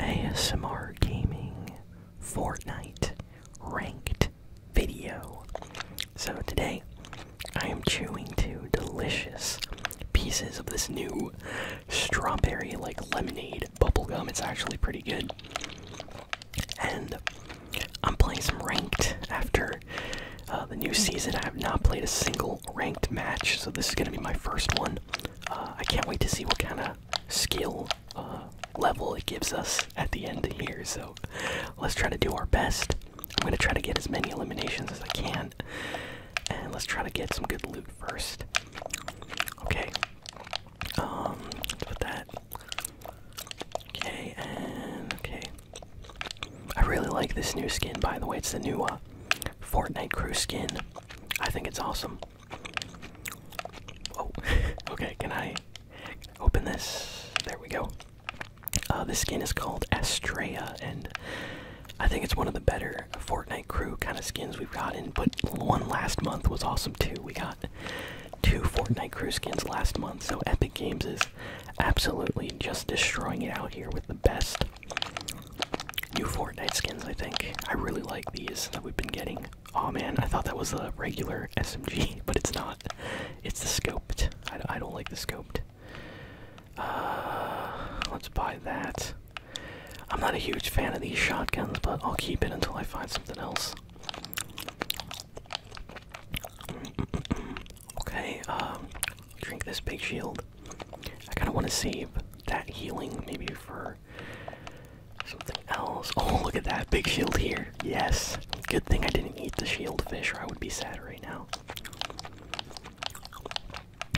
ASMR Gaming Fortnite Ranked Video. So today, I am chewing two delicious pieces of this new strawberry like lemonade bubble gum. It's actually pretty good. And I'm playing some ranked after uh, the new season. I have not played a single ranked match, so this is going to be my first one. Uh, I can't wait to see what kind of skill uh, level it gives us at the end here. So let's try to do our best. I'm going to try to get as many eliminations as I can. And let's try to get some good loot first. Okay. Um, let that. Okay, okay. I really like this new skin, by the way. It's the new uh, Fortnite crew skin. I think it's awesome. Oh, okay, can I open this? There we go. Uh, this skin is called Astrea, and I think it's one of the better Fortnite crew kind of skins we've gotten. But one last month was awesome too. We got two Fortnite crew skins last month, so Epic Games is absolutely just destroying it out here with the best new Fortnite skins, I think. I really like these that we've been getting. Oh man, I thought that was a regular SMG, but it's not. It's the scoped. I, don't like the scoped. Uh, let's buy that. I'm not a huge fan of these shotguns, but I'll keep it until I find something else. Okay, um, drink this big shield. I kind of want to save that healing maybe for Something else. Oh, look at that big shield here. Yes. Good thing I didn't eat the shield fish, or I would be sad right now.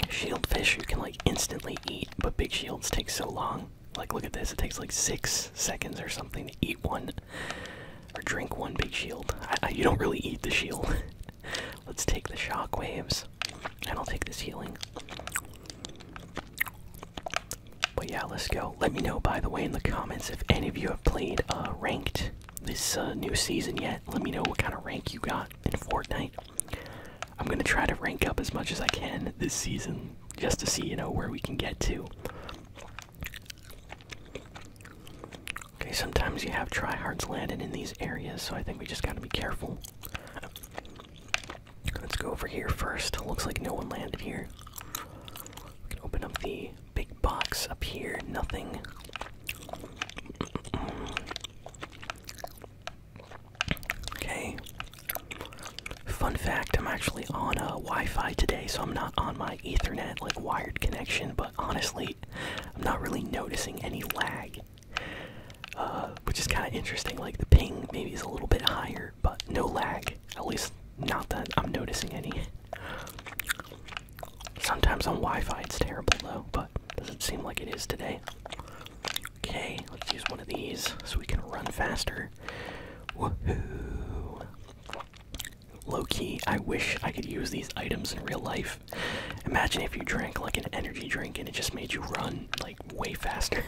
Shield fish you can like instantly eat, but big shields take so long. Like, look at this. It takes like six seconds or something to eat one or drink one big shield. you don't really eat the shield. Let's take the shock waves, and I'll take this healing. But yeah, let's go. Let me know, by the way, in the comments if any of you have played uh, ranked this uh, new season yet. Let me know what kind of rank you got in Fortnite. I'm gonna try to rank up as much as I can this season, just to see, you know, where we can get to. Okay, sometimes you have tryhards landing in these areas, so I think we just gotta be careful. Let's go over here first. Looks like no one landed here. We can open up the big box up here. Nothing. Okay. Fun fact, I'm actually on a Wi-Fi today, so I'm not on my Ethernet like wired connection, but honestly, I'm not really noticing any lag. Uh, which is kind of interesting. Like the ping maybe is a little bit higher, but no lag. At least, not that I'm noticing any. Sometimes on Wi Fi it's terrible though, but doesn't seem like it is today. Okay, let's use one of these so we can run faster. Woohoo! Low key, I wish I could use these items in real life. Imagine if you drank like an energy drink and it just made you run like way faster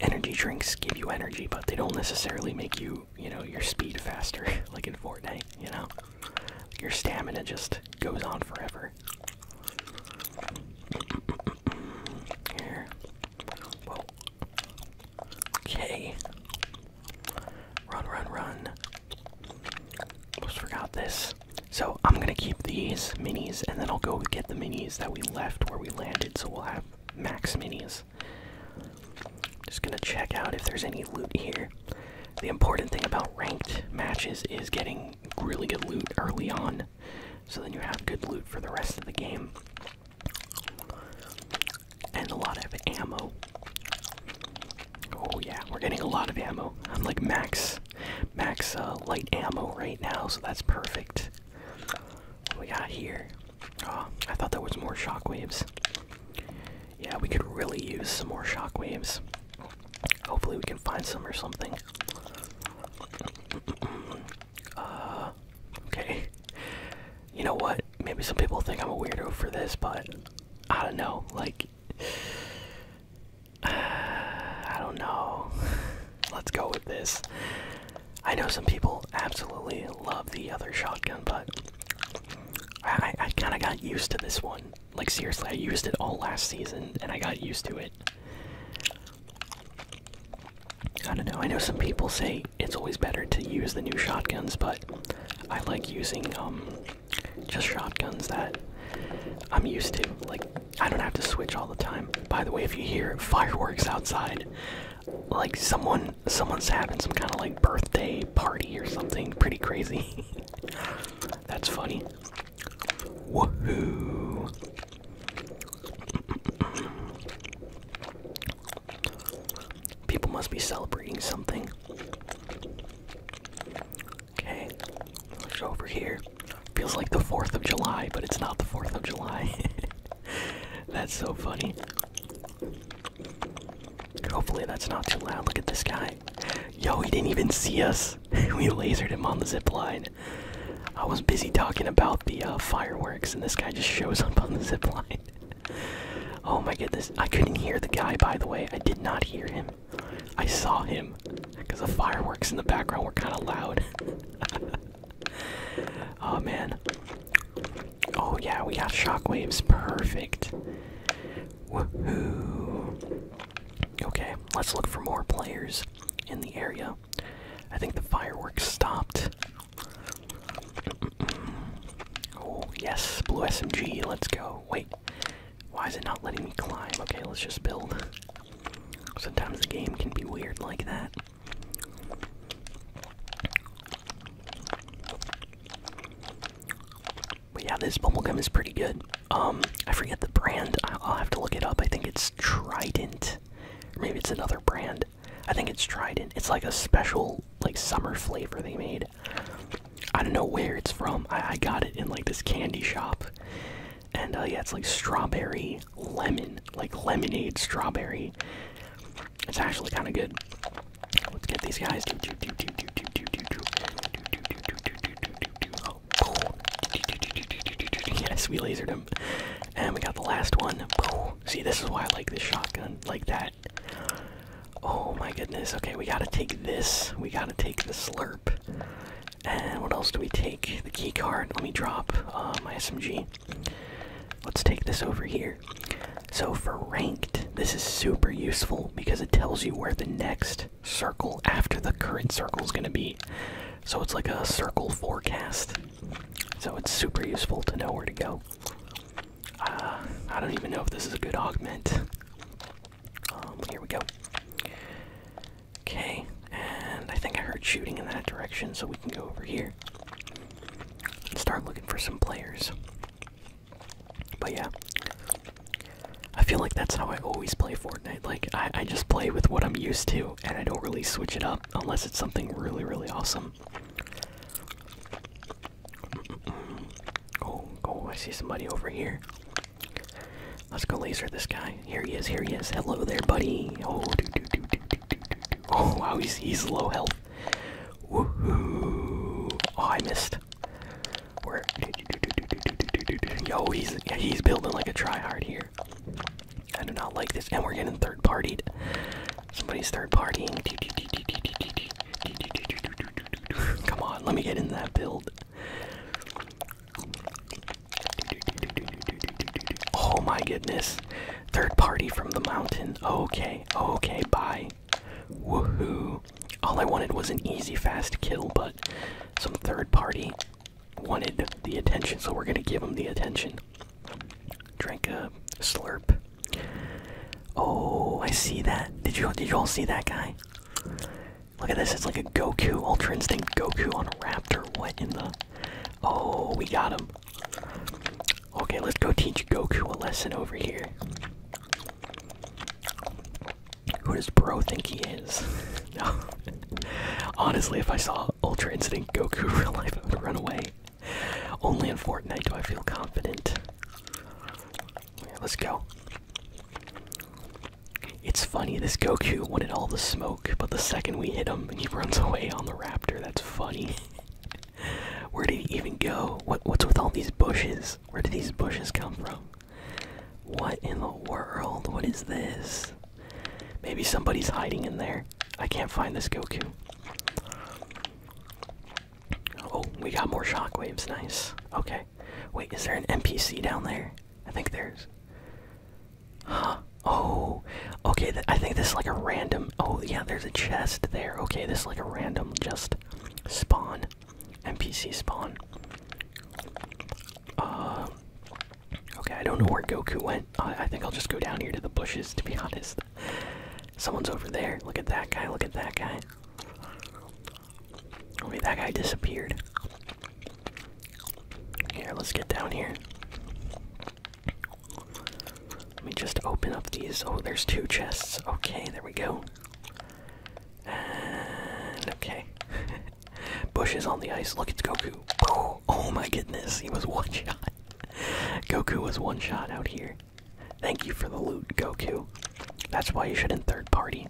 energy drinks give you energy, but they don't necessarily make you, you know, your speed faster, like in Fortnite, you know? Your stamina just goes on forever. Here. Whoa. Okay. Run, run, run. Almost forgot this. So I'm gonna keep these minis, and then I'll go get the minis that we left where we landed. So we'll have max minis. Just gonna check out if there's any loot here. The important thing about ranked matches is getting really good loot early on, so then you have good loot for the rest of the game. And a lot of ammo. Oh yeah, we're getting a lot of ammo. I'm like max max uh, light ammo right now, so that's perfect. What we got here? Oh, I thought there was more shockwaves. Yeah, we could really use some more shockwaves. Hopefully, we can find some or something. uh, okay. You know what? Maybe some people think I'm a weirdo for this, but I don't know. Like, I don't know. Let's go with this. I know some people absolutely love the other shotgun, but I, I kind of got used to this one. Like, seriously, I used it all last season and I got used to it. I don't know. I know some people say it's always better to use the new shotguns, but I like using um just shotguns that I'm used to. Like I don't have to switch all the time. By the way, if you hear fireworks outside, like someone someone's having some kind of like birthday party or something pretty crazy. That's funny. Woohoo. People must be celebrating something. Okay, let's go over here. Feels like the 4th of July, but it's not the 4th of July. that's so funny. Hopefully, that's not too loud. Look at this guy. Yo, he didn't even see us. we lasered him on the zip line. I was busy talking about the uh, fireworks, and this guy just shows up on the zip line. oh my goodness. I couldn't hear the guy, by the way. I did not hear him. I saw him because the fireworks in the background were kind of loud. oh man. Oh yeah, we got shockwaves. Perfect. Okay, let's look for more players in the area. I think the fireworks stopped. Oh, yes, blue SMG, let's go. Wait, why is it not letting me climb? Okay, let's just build. Sometimes the game can be weird like that. But yeah, this bubble gum is pretty good. Um, I forget the brand. I'll, have to look it up. I think it's Trident. maybe it's another brand. I think it's Trident. It's like a special, like, summer flavor they made. I don't know where it's from. I got it in, like, this candy shop and uh, yeah, it's like strawberry lemon, like lemonade strawberry. It's actually kind of good. Let's get these guys. Yes, we lasered him, and we got the last one. See, this is why I like this shotgun, like that. Oh my goodness. Okay, we gotta take this. We gotta take the slurp. And what else do we take? The key card. Let me drop uh, my SMG. Let's take this over here. So for ranked, this is super useful because it tells you where the next circle after the current circle is going to be. So it's like a circle forecast. So it's super useful to know where to go. Uh, I don't even know if this is a good augment. Um, here we go. Okay, and I think I heard shooting in that direction, so we can go over here and start looking for some players. But yeah, I feel like that's how I always play Fortnite. Like, I, I just play with what I'm used to, and I don't really switch it up unless it's something really, really awesome. Mm -mm Oh, oh, I see somebody over here. Let's go laser this guy. Here he is, here he is. Hello there, buddy. Oh, wow, he's, he's low health. Woohoo. Oh, I missed. Where? Yo, he's, he's building like a tryhard here. I do not like this. And we're getting third partied. Somebody's third partying. Come on, let me get in that build. Oh my goodness. Third party from the mountain. Okay, okay, bye. Woohoo. All I wanted was an easy, fast kill, but some third party wanted the attention, so we're gonna give them the attention. Drank a slurp. Oh, I see that. did you all see that guy? Look at this, it's like a Goku, Ultra Instinct Goku on a Raptor. What in the. Oh, we got him. Okay, let's go teach Goku a lesson over here. Who does Bro think he is? Honestly, if I saw Ultra Instinct Goku real life, I would run away. Only in Fortnite do I feel confident. let's go. It's funny, this Goku wanted all the smoke, but the second we hit him, he runs away on the raptor. That's funny. Where did he even go? what's with all these bushes? Where did these bushes come from? What in the world? What is this? Maybe somebody's hiding in there. I can't find this Goku. Oh, we got more shockwaves. Nice. Okay. Wait, is there an NPC down there? I think there's. Huh. Oh, okay. I think this is like a random. Oh, yeah, there's a chest there. Okay, this is like a random just spawn. NPC spawn. Uh, okay, I don't know where Goku went. I think I'll just go down here to the bushes, to be honest. Someone's over there. Look at that guy. Look at that guy. Oh, wait, that guy disappeared. Here, let's get down here. Let me just open up these. Oh, there's two chests. Okay, there we go. And okay. Bush is on the ice. Look, it's Goku. Oh, oh my goodness, he was one shot. Goku was one shot out here. Thank you for the loot, Goku. That's why you shouldn't third party.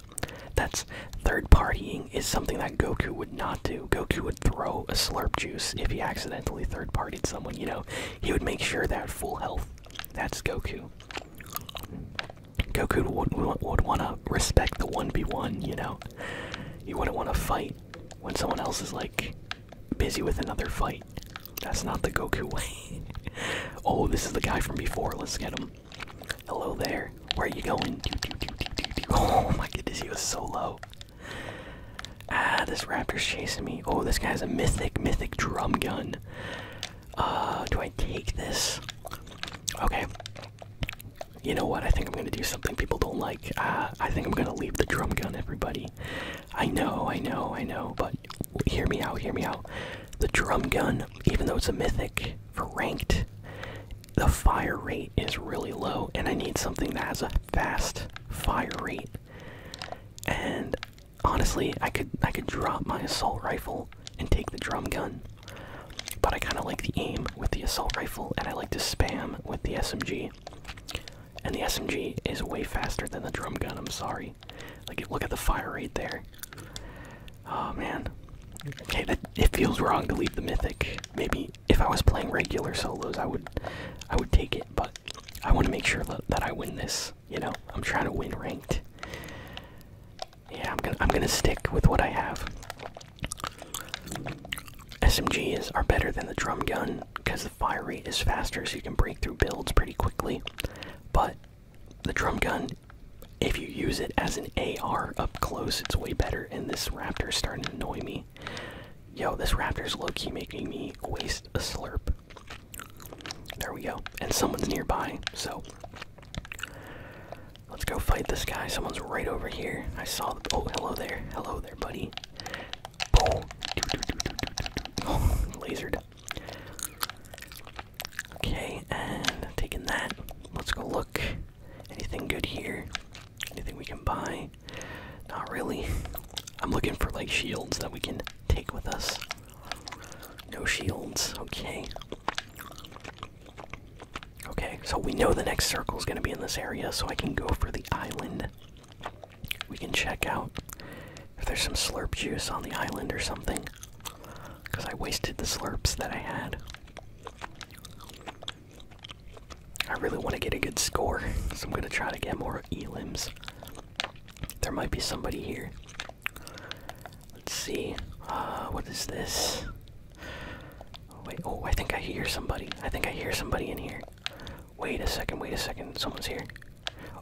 That's Third partying is something that Goku would not do. Goku would throw a slurp juice if he accidentally third partyed someone, you know? He would make sure they're full health. That's Goku. Goku would, would, want to respect the 1v1, you know? You wouldn't want to fight when someone else is like busy with another fight. That's not the Goku way. oh, this is the guy from before. Let's get him. Hello there. Where are you going? Oh my goodness, he was so low. Ah, this raptor's chasing me. Oh, this guy has a mythic, mythic drum gun. Uh, do I take this? Okay. You know what? I think I'm gonna do something people don't like. Ah, I think I'm gonna leave the drum gun, everybody. I know, I know, I know, but hear me out, hear me out. The drum gun, even though it's a mythic for ranked, the fire rate is really low, and I need something that has a fast fire rate. And honestly, I could I could drop my assault rifle and take the drum gun, but I kind of like the aim with the assault rifle, and I like to spam with the SMG. And the SMG is way faster than the drum gun. I'm sorry. Like, look at the fire rate there. Oh man. Okay, it feels wrong to leave the mythic. Maybe if I was playing regular solos, I would, I would take it. But I want to make sure that, I win this. You know, I'm trying to win ranked. Yeah, I'm gonna, I'm gonna stick with what I have. SMGs are better than the drum gun because the fire rate is faster, so you can break through builds pretty quickly. But the drum gun, if you use it as an AR up close, it's way better. And this Raptor is starting to annoy me me. Yo, this raptor's low key making me waste a slurp. There we go. And someone's nearby, so let's go fight this guy. Someone's right over here. I saw the. Oh, hello there. Hello there, buddy. Boom. Oh, lasered. Okay, and taking that. Let's go look. Anything good here? Anything we can buy? Not really. I'm looking for like shields that we can take with us. No shields. Okay. Okay, so we know the next circle is going to be in this area, so I can go for the island. We can check out if there's some slurp juice on the island or something. Because I wasted the slurps that I had. I really want to get a good score, so I'm going to try to get more elims. There might be somebody here. Let's see. Uh, what is this? Oh, wait, oh, I think I hear somebody. I think I hear somebody in here. Wait a second, wait a second. Someone's here.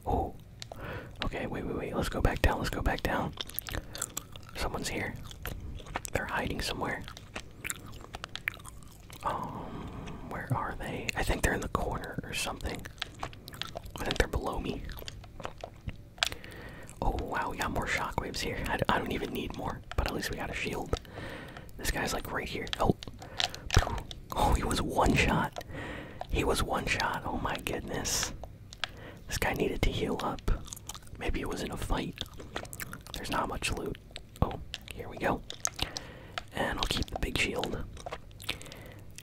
Oh. Okay, wait, wait, wait. Let's go back down. Let's go back down. Someone's here. They're hiding somewhere. Um, where are they? I think they're in the corner or something. I think they're below me. Oh wow, we got more shockwaves here. I, I don't even need more, but at least we got a shield. This guy's like right here. Oh, oh, he was one shot. He was one shot. Oh my goodness. This guy needed to heal up. Maybe it was in a fight. There's not much loot. Oh, here we go. And I'll keep the big shield.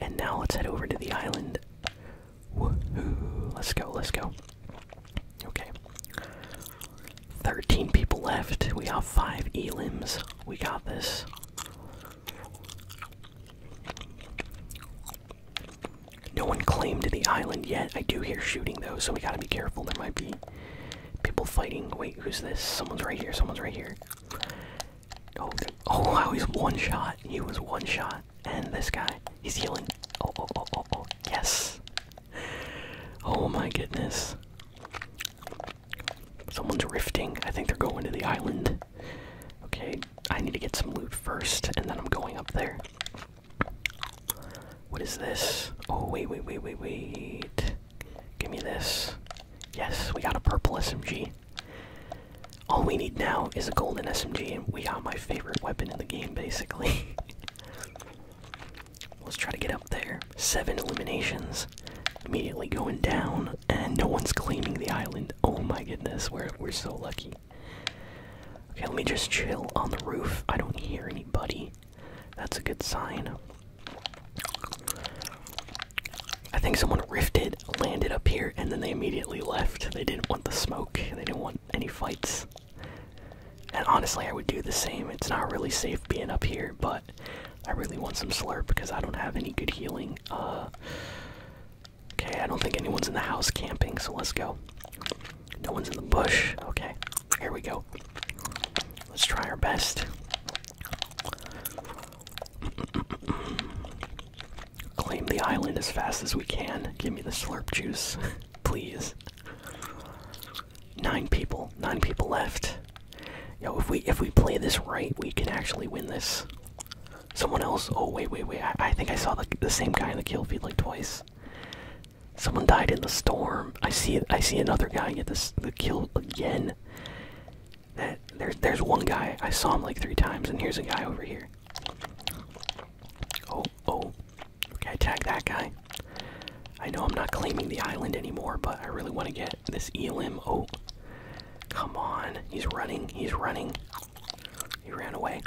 And now let's head over to the island. Let's go, let's go. Okay. 13 people left. We have 5 elims. We got this. No one claimed the island yet. I do hear shooting though, so we gotta be careful. There might be People fighting. Wait, who's this? Someone's right here. Someone's right here. Oh, oh wow, he's one shot. He was one shot. And this guy, he's healing. Oh, oh, oh, oh, oh. Yes. Oh my goodness. Someone's rifting. I think they're going to the island. Okay, I need to get some loot first, and then I'm going up there. What is this? Oh, wait, wait, wait, wait, wait. Give me this. Yes, we got a purple SMG. All we need now is a golden SMG, and we got my favorite weapon in the game, basically. Let's try to get up there. Seven eliminations. Immediately going down, and no one's claiming the island. Oh my goodness, we're, we're so lucky. Okay, let me just chill on the roof. I don't hear anybody. That's a good sign. I think someone rifted, landed up here, and then they immediately left. They didn't want the smoke, they didn't want any fights. And honestly, I would do the same. It's not really safe being up here, but I really want some slurp because I don't have any good healing. Uh, okay, I don't think anyone's in the house camping, so let's go. No one's in the bush. Okay. Here we go. Let's try our best. Claim the island as fast as we can. Give me the slurp juice, please. Nine people. Nine people left. Yo, if we if we play this right, we can actually win this. Someone else. Oh wait, wait, wait. I, I think I saw the the same guy in the kill feed like twice. Someone died in the storm. I see. I see another guy get this the kill again. That there's there's one guy I saw him like three times, and here's a guy over here. Oh oh, okay. Tag that guy. I know I'm not claiming the island anymore, but I really want to get this Elim. Oh, come on! He's running. He's running. He ran away.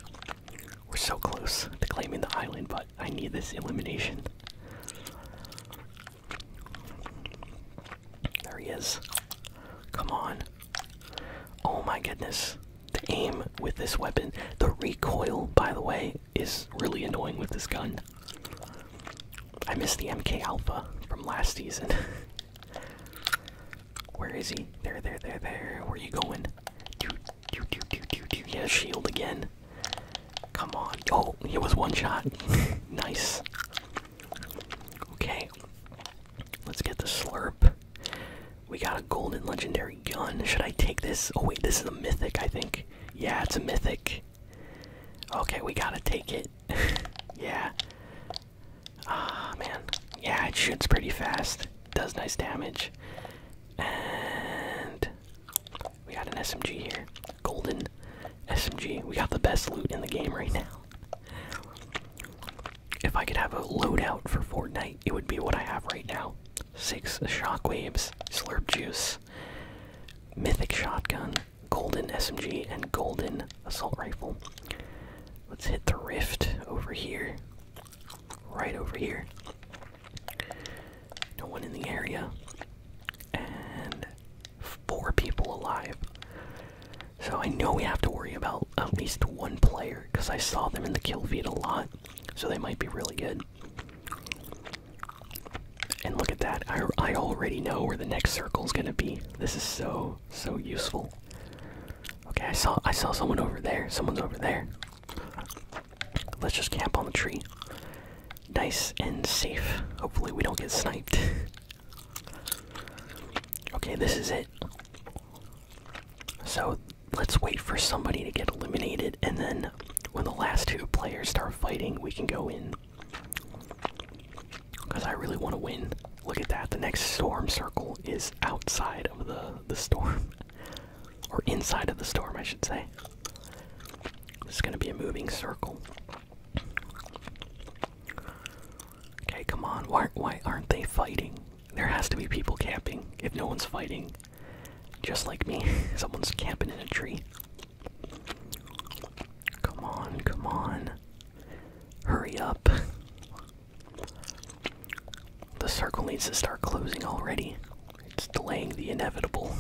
We're so close to claiming the island, but I need this elimination. There he is. Come on. Oh my goodness. The aim with this weapon, the recoil, by the way, is really annoying with this gun. I missed the MK Alpha from last season. Where is he? There, there, there, there. Where are you going? Dude, dude, dude, dude, dude, dude. Yeah, shield again. Come on. Oh, it was one shot. nice. Okay. Let's get the slurp. We got a golden legendary gun. Should I take this? Oh, wait, this is a mythic, I think. Yeah, it's a mythic. Okay, we gotta take it. yeah. Ah, man. Yeah, it shoots pretty fast. Does nice damage. And. We got an SMG here. Golden SMG. We got the best loot in the game right now. If I could have a loadout for Fortnite, it would be what I have right now. Six shockwaves, slurp juice, mythic shotgun, golden SMG, and golden assault rifle. Let's hit the rift over here. Right over here. No one in the area. And four people alive. So I know we have to worry about at least one player because I saw them in the kill feed a lot. So they might be really good. And look at that. I, I already know where the next circle is going to be. This is so, so useful. Okay, I saw I saw someone over there. Someone's over there. Let's just camp on the tree nice and safe. Hopefully, we don't get sniped. okay, this is it. So, let's wait for somebody to get eliminated, and then when the last two players start fighting, we can go in. Because I really want to win. Look at that. The next storm circle is outside of the, the storm. or inside of the storm, I should say. This is going to be a moving circle. Okay, come on. Why, why aren't they fighting? There has to be people camping. If no one's fighting, just like me, someone's camping in a tree. Come on, come on. Hurry up. The circle needs to start closing already. It's delaying the inevitable.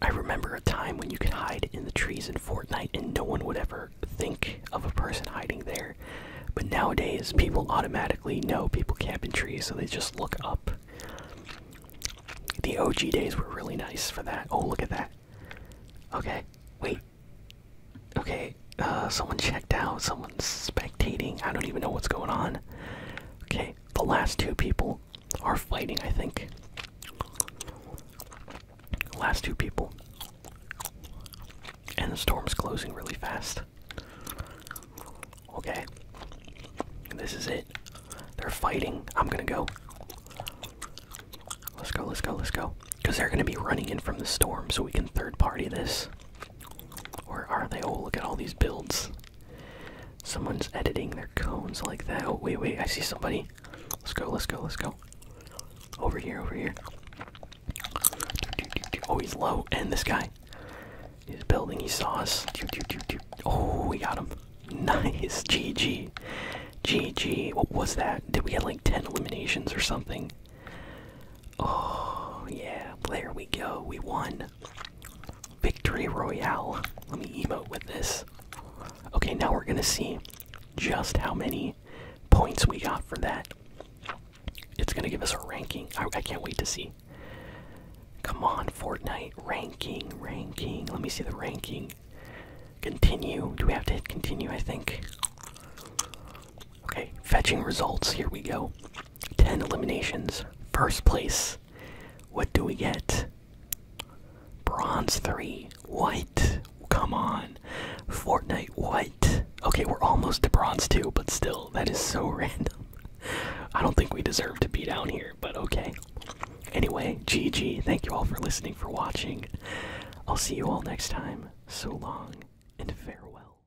I, remember a time when you could hide in the trees in Fortnite and no one would ever think of a person hiding there. But nowadays, people automatically know people camp in trees, so they just look up. The OG days were really nice for that. Oh, look at that. Okay, wait. Okay, uh, someone checked out. Someone's spectating. I don't even know what's going on. Okay, the last two people are fighting, I think. Last two people. And the storm's closing really fast. Okay. This is it. They're fighting. I'm gonna go. Let's go, let's go, let's go. Because they're gonna be running in from the storm, so we can third party this. Or are they? Oh, look at all these builds. Someone's editing their cones like that. Oh, wait, wait, I see somebody. Let's go, let's go, let's go. Over here, over here. Oh, he's low. And this guy. He's building, he saw us. Oh, we got him. Nice. GG. GG. What was that? Did we have like 10 eliminations or something? Oh, yeah, there we go. We won. Victory Royale. Let me emote with this. Okay, now we're gonna see just how many points we got for that. It's gonna give us a ranking. I, can't wait to see. Come on, Fortnite. Ranking, ranking. Let me see the ranking. Continue. Do we have to continue? I think. Okay, fetching results. Here we go. 10 eliminations, first place. What do we get? Bronze 3. What? Come on. Fortnite, what? Okay, we're almost to bronze 2, but still, that is so random. I don't think we deserve to be down here, but okay. Anyway, GG. Thank you all for listening, for watching. I'll see you all next time. So long and farewell.